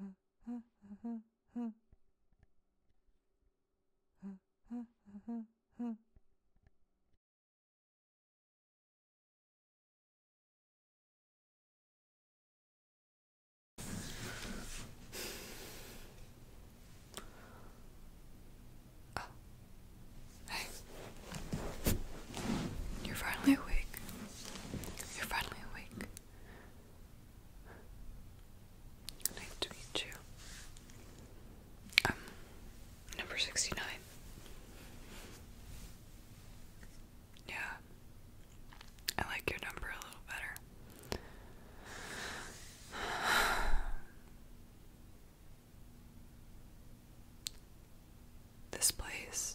Oh. Hey. You're finally awake. You're finally awake. Nice to meet you. Um, number 69. Yeah. I like your number a little better. This place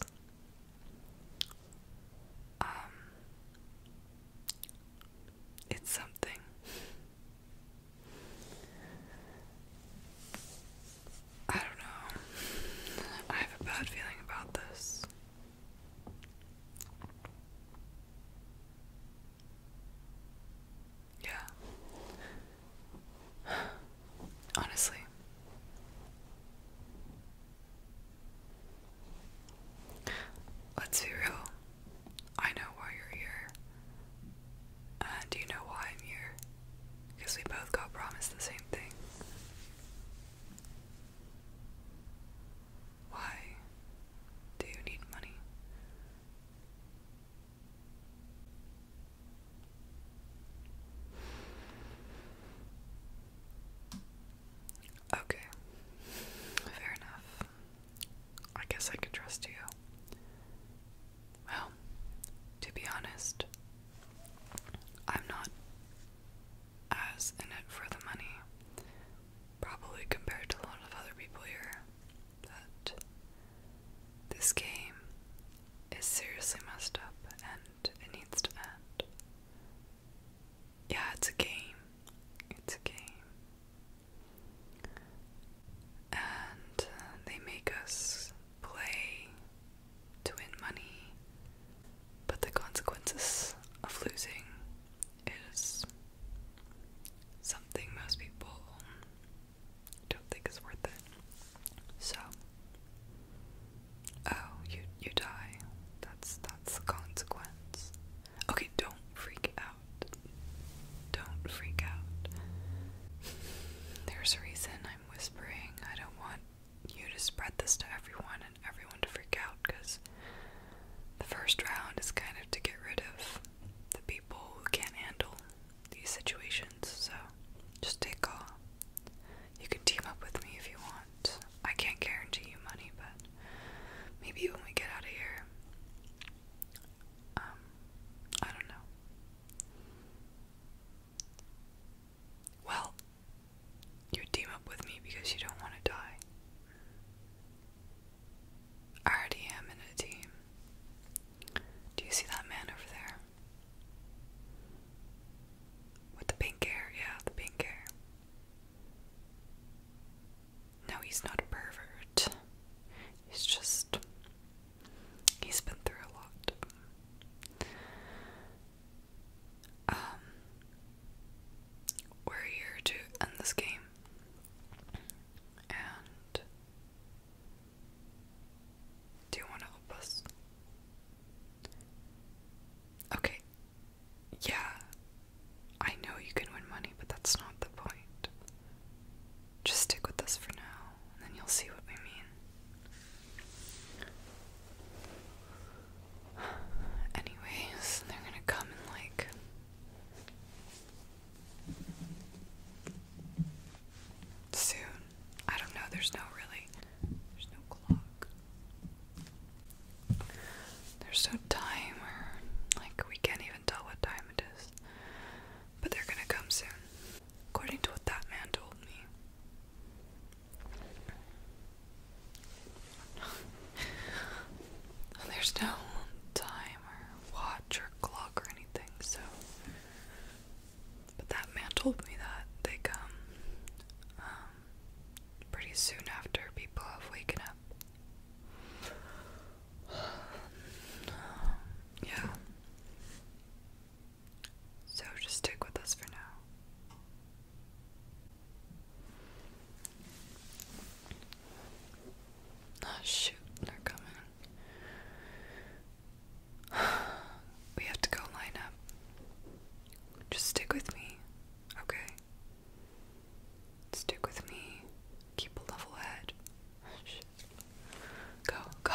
um, it's something. I don't know. I have a bad feeling about this. Yeah. Honestly. Let's be real. I know why you're here. And you know why I'm here. Because we both got promised the same thing. Why do you need money? Okay. Fair enough. I guess I can trust you. Well, to be honest, I'm not as in it for the money, probably compared to a lot of other people here. But this game is seriously messed up and it needs to end yeah, it's a game. It's a game. And uh, they make us play to win money, but the consequences of losing is something most people don't think is worth it. So, Oh, you you die. That's that's the consequence. Okay, don't freak out. Don't freak out. There's a reason I'm whispering. I don't want you to spread this to everyone and everyone to freak out because the first round is kind of to get rid of the people who can't handle these situations. So just take off. You can team up with me if you want. I can't guarantee you money, but maybe when we get out of here. Um, I don't know. Well, you team up with me because you don't want to die. I already am in a team. Do you see that man over there? With the pink hair, yeah, the pink hair. No, he's not a pervert. He's just. He's been through a lot. Um. We're here to end this game. And. Do you want to help us? Okay, yeah, I know you can win money, but that's not the point. Just stick with this for now, and then you'll see what we mean. Anyways, they're gonna come and like. Soon. I don't know, there's no really. There's no clock. There's no time, or like we can't even tell what time it is. But they're gonna come soon, according to what that man told me. There's no time watch or clock or anything, so. But that man told me that they come. Um, pretty soon after people have waken up. yeah. So just stick with us for now. Oh shoot, they're coming. we have to go line up. Just stick with me, okay? Stick with me. Keep a level head. Oh, go, go.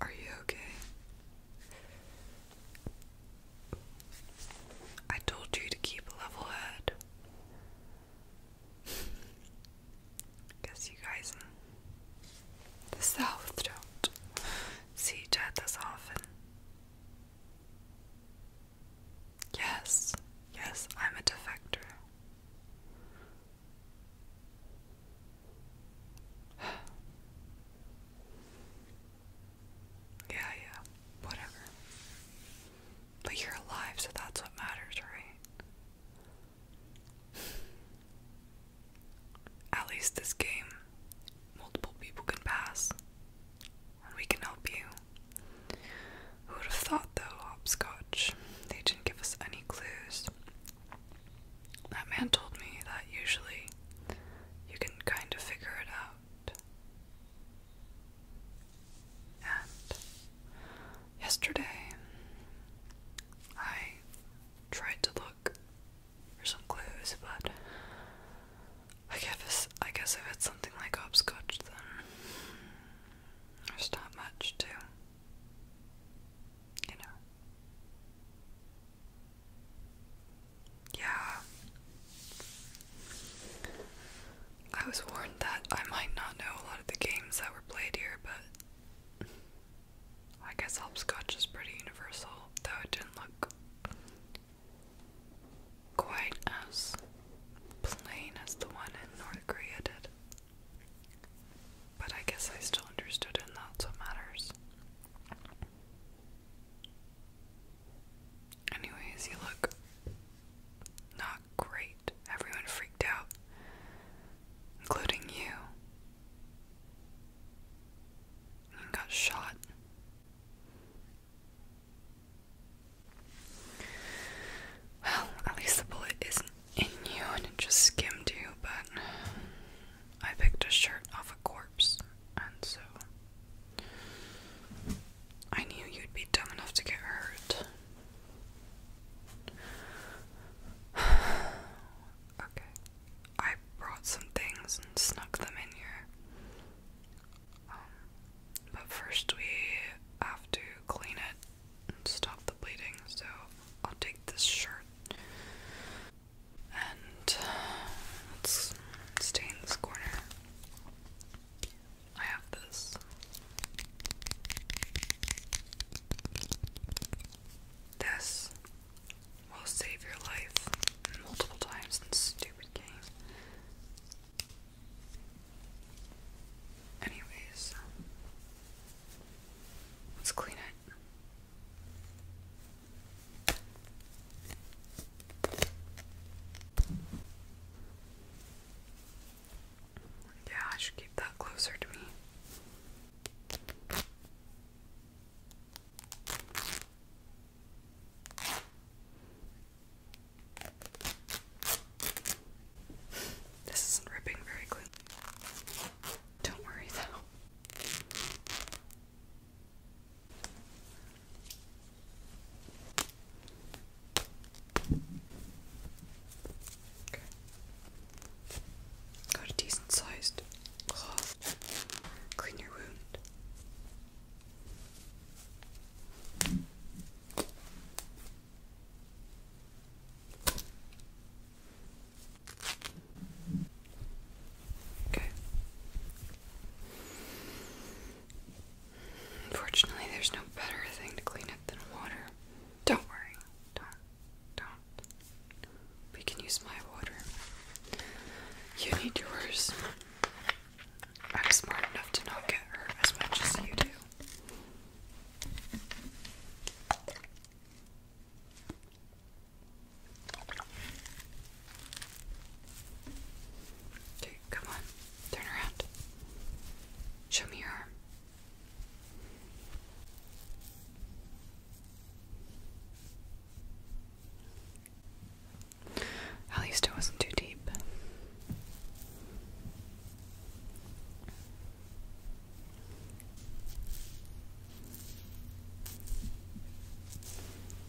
Are you okay? I told you to keep a level head. Guess you guys in the South don't see each other as often. Yes, yes, I'm a defector. Yeah, yeah, whatever. But you're alive, so that's what matters, right? At least this game, multiple people can pass, and we can help you. Who would have thought, though, Hopscotch? They didn't give us any clues. That man told me that usually you can kind of figure it out. And yesterday, I tried to look for some clues, but I guess I guess if it's something like hopscotch, then there's not much to, you know. Yeah. I was warned that I might not know a lot of the games that were played here, but I guess hopscotch is pretty universal, though it didn't look quite as plain as the one in North Korea did. But I guess I still understood it, and that's what matters. Anyways, you look not great. Everyone freaked out, including you. You got shot. Well, at least the bullet isn't in you and it just skimmed you, but I picked a shirt off a corpse, and so I knew you'd be dumb enough to get hurt. okay. I brought some things and snuck them in here. Um, but first we have to clean it and stop the bleeding, so I'll take this shirt and let's stay in this corner. I have this. This will save your life multiple times in stupid game. Anyways, let's clean it. Yeah, I should keep that closer to me. This isn't ripping very clean. Don't worry though. Got a decent sized cloth. Clean your wound. Unfortunately, there's no better thing to clean it than water. Don't worry. Don't. Don't. We can use my water. You need yours. I'm smart enough to not get hurt as much as you do. Okay, come on. Turn around. Show me your arm. At least it wasn't too deep.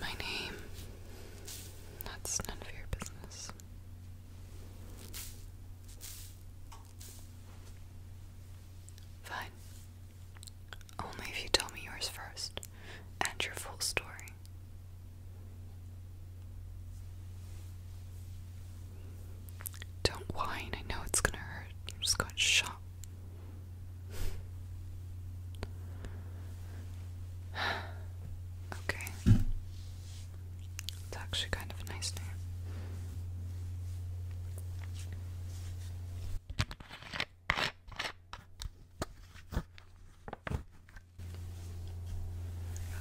My name. That's none of your business. Fine. Only if you tell me yours first and your full story. Don't whine, I know it's gonna hurt. I just got shot okay. It's actually kind of a nice name.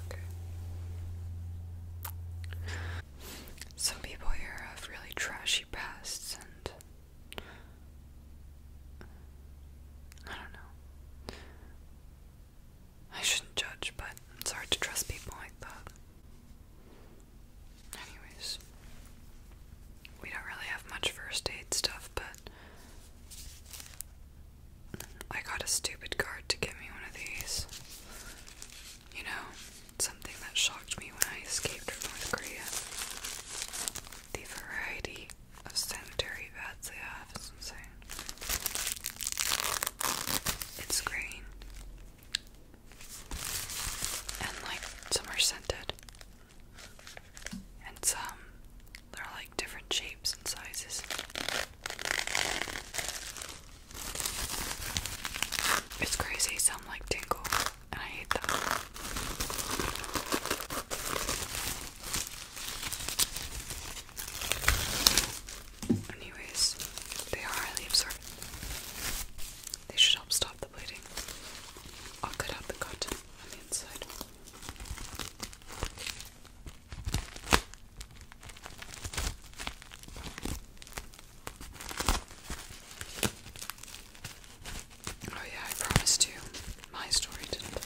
Okay. Some people here have really trashy pasts and I don't know. I shouldn't judge, but it's hard to trust people like that. Anyways, we don't really have much first aid stuff, but I got a stupid card to get me one of these. You know, something that shocked me when I escaped from North Korea. The variety of sanitary vats they have is insane. It's green. And like some are scented. And some they're like different shapes and sizes. It's crazy, some like tingle. Anyways, they are highly absorbent. They should help stop the bleeding. I'll cut out the cotton on the inside. Oh yeah, I promised you. My story didn't.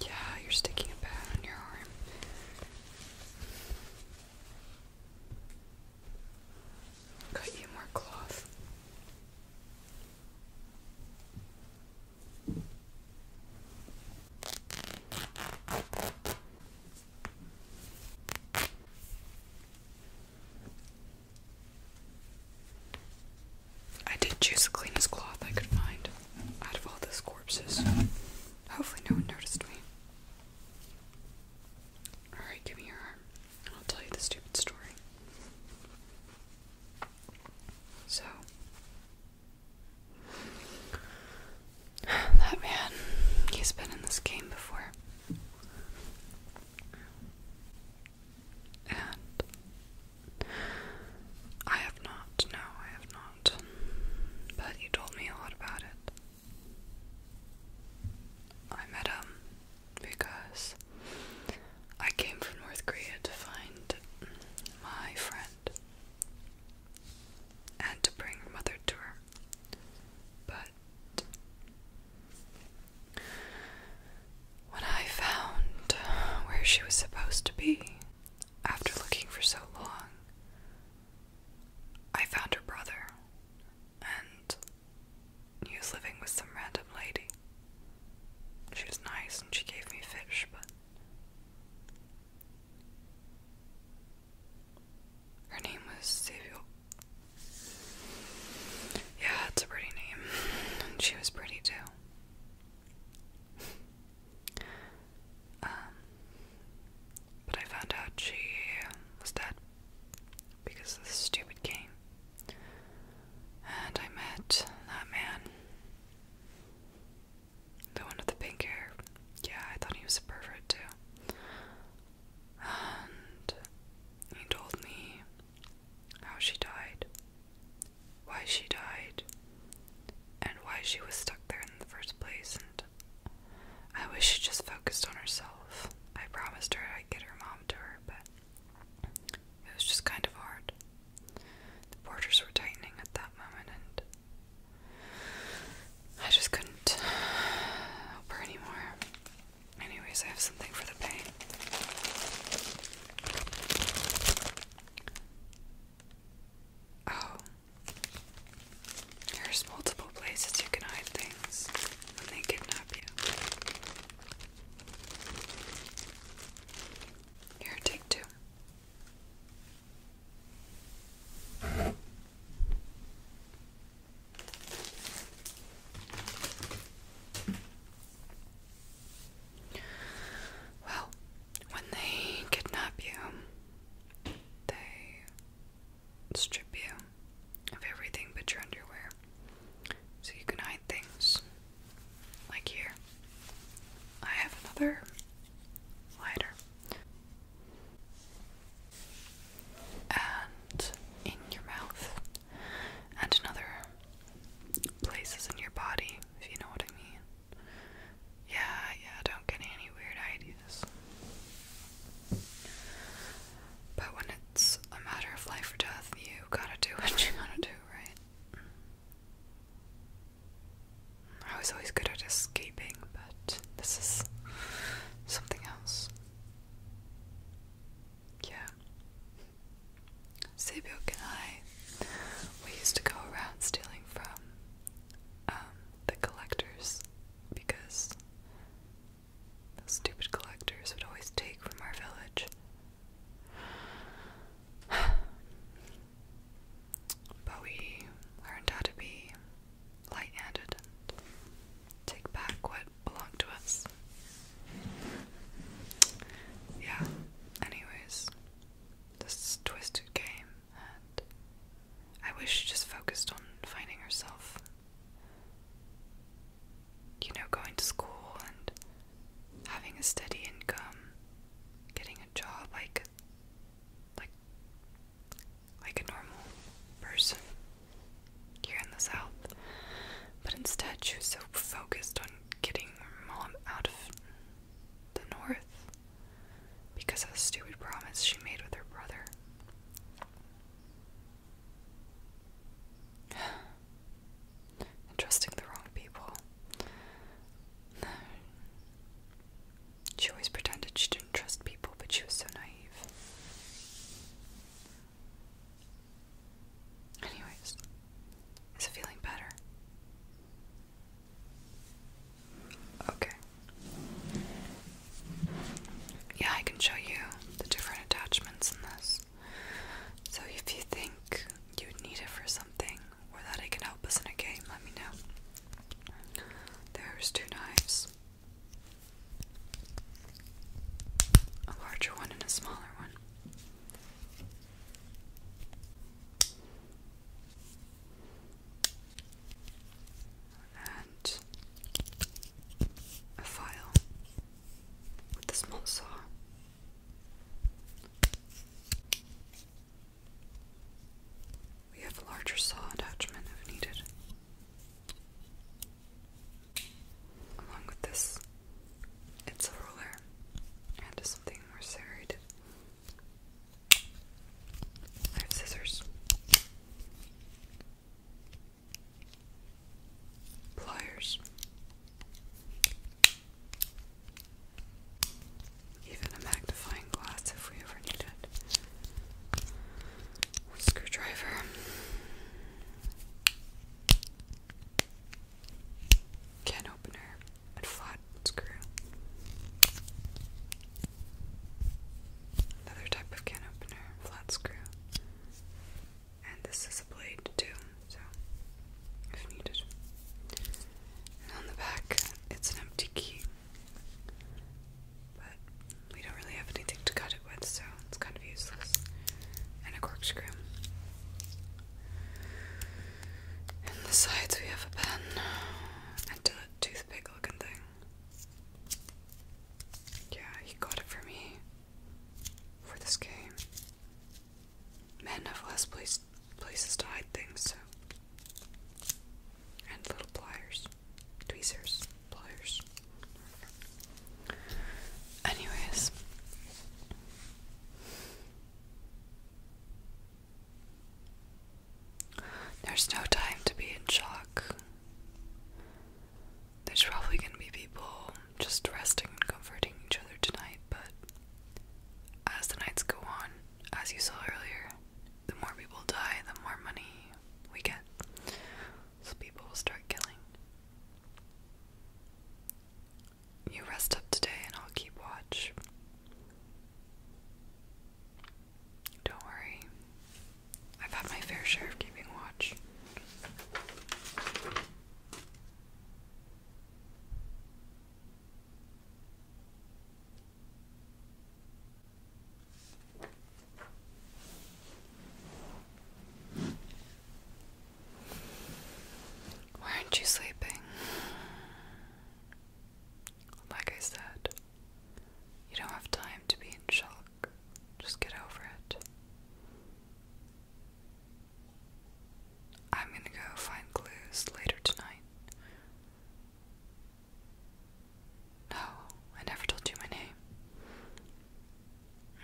Yeah, you're sticking a pad on your arm. Cut you more cloth. I did choose the cleanest cloth I could find out of all those corpses. Hopefully, no one noticed me. Alright, give me your arm. I'll tell you the stupid story. So, that man, he's been in this game before. And I have not, no, I have not. But you told me a lot about it. I met him because I came from North Korea to find my friend and to bring mother to her. But when I found where she was supposed to be, after looking for so long, I found her brother and he was living with some random lady. She was nice and she gave me fish, but her name was Savior. Yeah, it's a pretty name, and she was pretty too. Um, but I found out she was dead because of this stupid game. And I met that man. The one with the pink hair. Yeah, I thought he was a pervert too. And he told me how she died, why she died, and why she was stuck there in the first place, I wish she just focused on herself. I promised her I'd get her mom to her, but it was just kind of hard. The borders were tightening at that moment, and I just couldn't help her anymore. Anyways, I have something for the pain. Oh, there's multiple places you can hide things when they kidnap you. Here, take two. Well, when they kidnap you, they strip you of everything but your underwear. So you can hide things. Like here. I have another lighter. And in your mouth. And another places in your body, if you know what I mean. Yeah, yeah, don't get any weird ideas. But when it's a matter of life or death, you gotta do what you gotta do, right? I was always good at escaping, but this is something else. Yeah. Sebiok and I, we used to go around stealing from um, the collectors because those stupid collectors would always take from our village. But we learned how to be light handed and take back what belonged to us. Yeah, anyways, this twisted game I wish she just focused on finding herself. You know, going to school and having a steady income, getting a job like like like a normal person here in the South. But instead she was so focused on getting her mom out of the north because of the stupid promise she made with her brother. trusting the wrong people. She always pretended she didn't trust people, but she was so naive. Anyways, is it feeling better? Okay. Yeah, I can show you the different attachments in this. So if you think you need it for something or that it can help us in a game, let me know. There's two knives. A larger one and a smaller one and a file with the small saw. We have a larger saw attachment if needed. Along with this, it's a ruler and something more serrated I have scissors. Pliers. Even a magnifying glass if we ever need it. screwdriver. Can opener flat screw. Another type of can opener, flat screw. And this is a blade too, so if needed. on the back, it's an empty key. But we don't really have anything to cut it with, so it's kind of useless. And a corkscrew. And the sides we have a pen and a toothpick looking thing. Yeah, he got it for me for this game. Manduffle has place, places to hide things, so. And little pliers. Tweezers. Pliers. Anyways. There's no time to be in shock. There's probably going to be people just resting and comforting each other tonight, but as the nights go on, as you saw earlier, the more people die, the more money we get. So people will start killing. You rest up today and I'll keep watch. Don't worry. I've had my fair share of keeping watch. Why aren't you sleeping? Like I said, you don't have time to be in shock. Just get over it. I'm gonna go find clues later tonight. No, I never told you my name. Mm.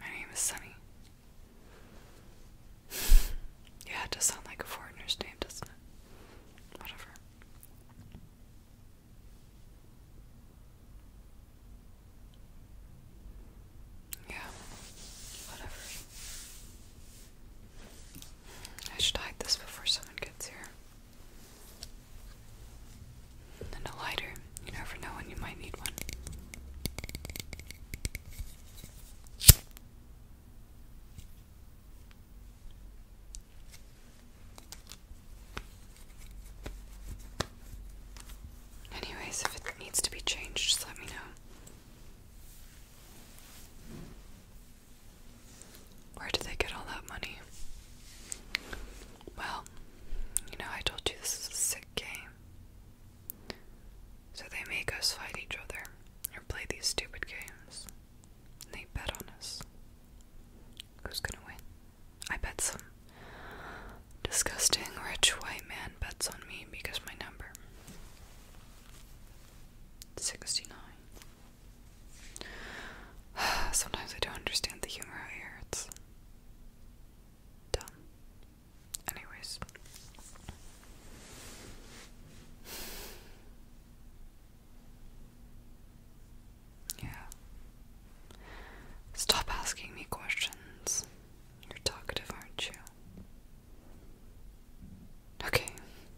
My name is Sunny. Yeah, it does sound like a foreigner's name, doesn't it? Whatever. Yeah, whatever. I should hide this before someone gets here. And a lighter. You never know when you might need one. Anyways, if it needs to be changed, just let me know. Where did they get all that money? Well, you know, I told you this is a sick game. So they make us fight each other or play these stupid games. And they bet on us. Who's gonna win? I bet some disgusting rich white man bets on me because my number 69. Sometimes I don't understand the humor out here. It's dumb. Anyways. Yeah. Stop asking me questions. You're talkative, aren't you? Okay,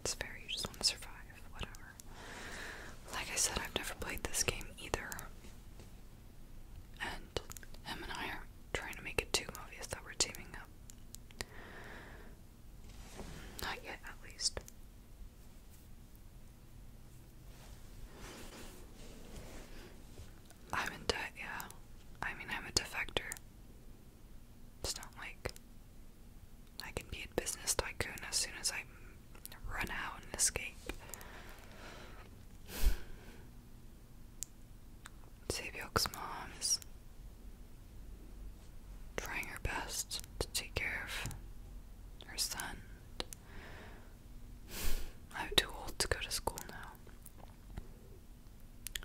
it's fair, you just want to survive, whatever. Like I said, I've never played this game either. And him and I are trying to make it too obvious that we're teaming up. Not yet, at least. I'm in debt, yeah. I mean, I'm a defector. It's not like I can be a business tycoon as soon as I run out and escape. Sabyok's mom is trying her best to take care of her son. I'm too old to go to school now.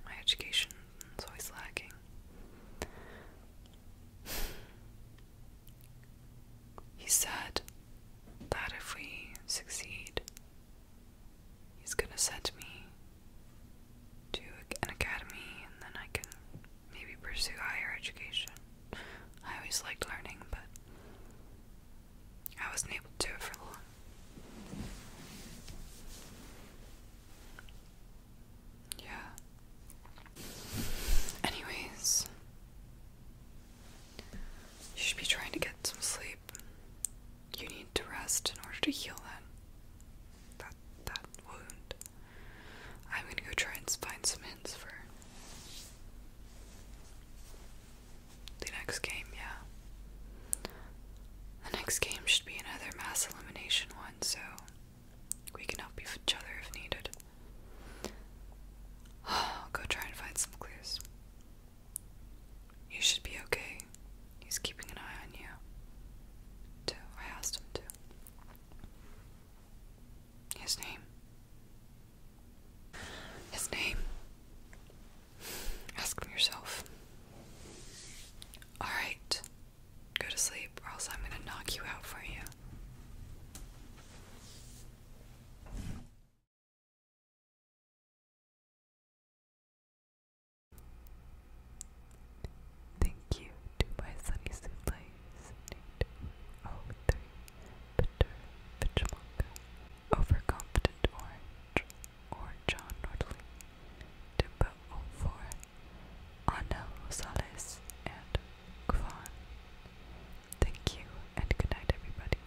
My education is always lacking. He said that if we succeed, he's gonna send me to an academy and then I can maybe pursue higher education. I always liked learning, but I wasn't able to do it for long. Yeah. Anyways, you should be trying to get some sleep. You need to rest in order to heal that that that wound. I'm gonna go try and find some hints for the next game, yeah. The next game should be another mass elimination one, so we can help each other if needed. I'll go try and find some clues. You should be okay. He's keeping an eye on you. Too. I asked him to. His name. His name. Ask him yourself. Alright. Go to sleep, or else I'm gonna knock you out for you. Thank you to Sunny Siblings, Nate, O3, Peter, Pitchmonka, Overconfident Orange, or John Nordley, Dimba O4, Ana Rosales, and Kwan. Thank you, and good night, everybody.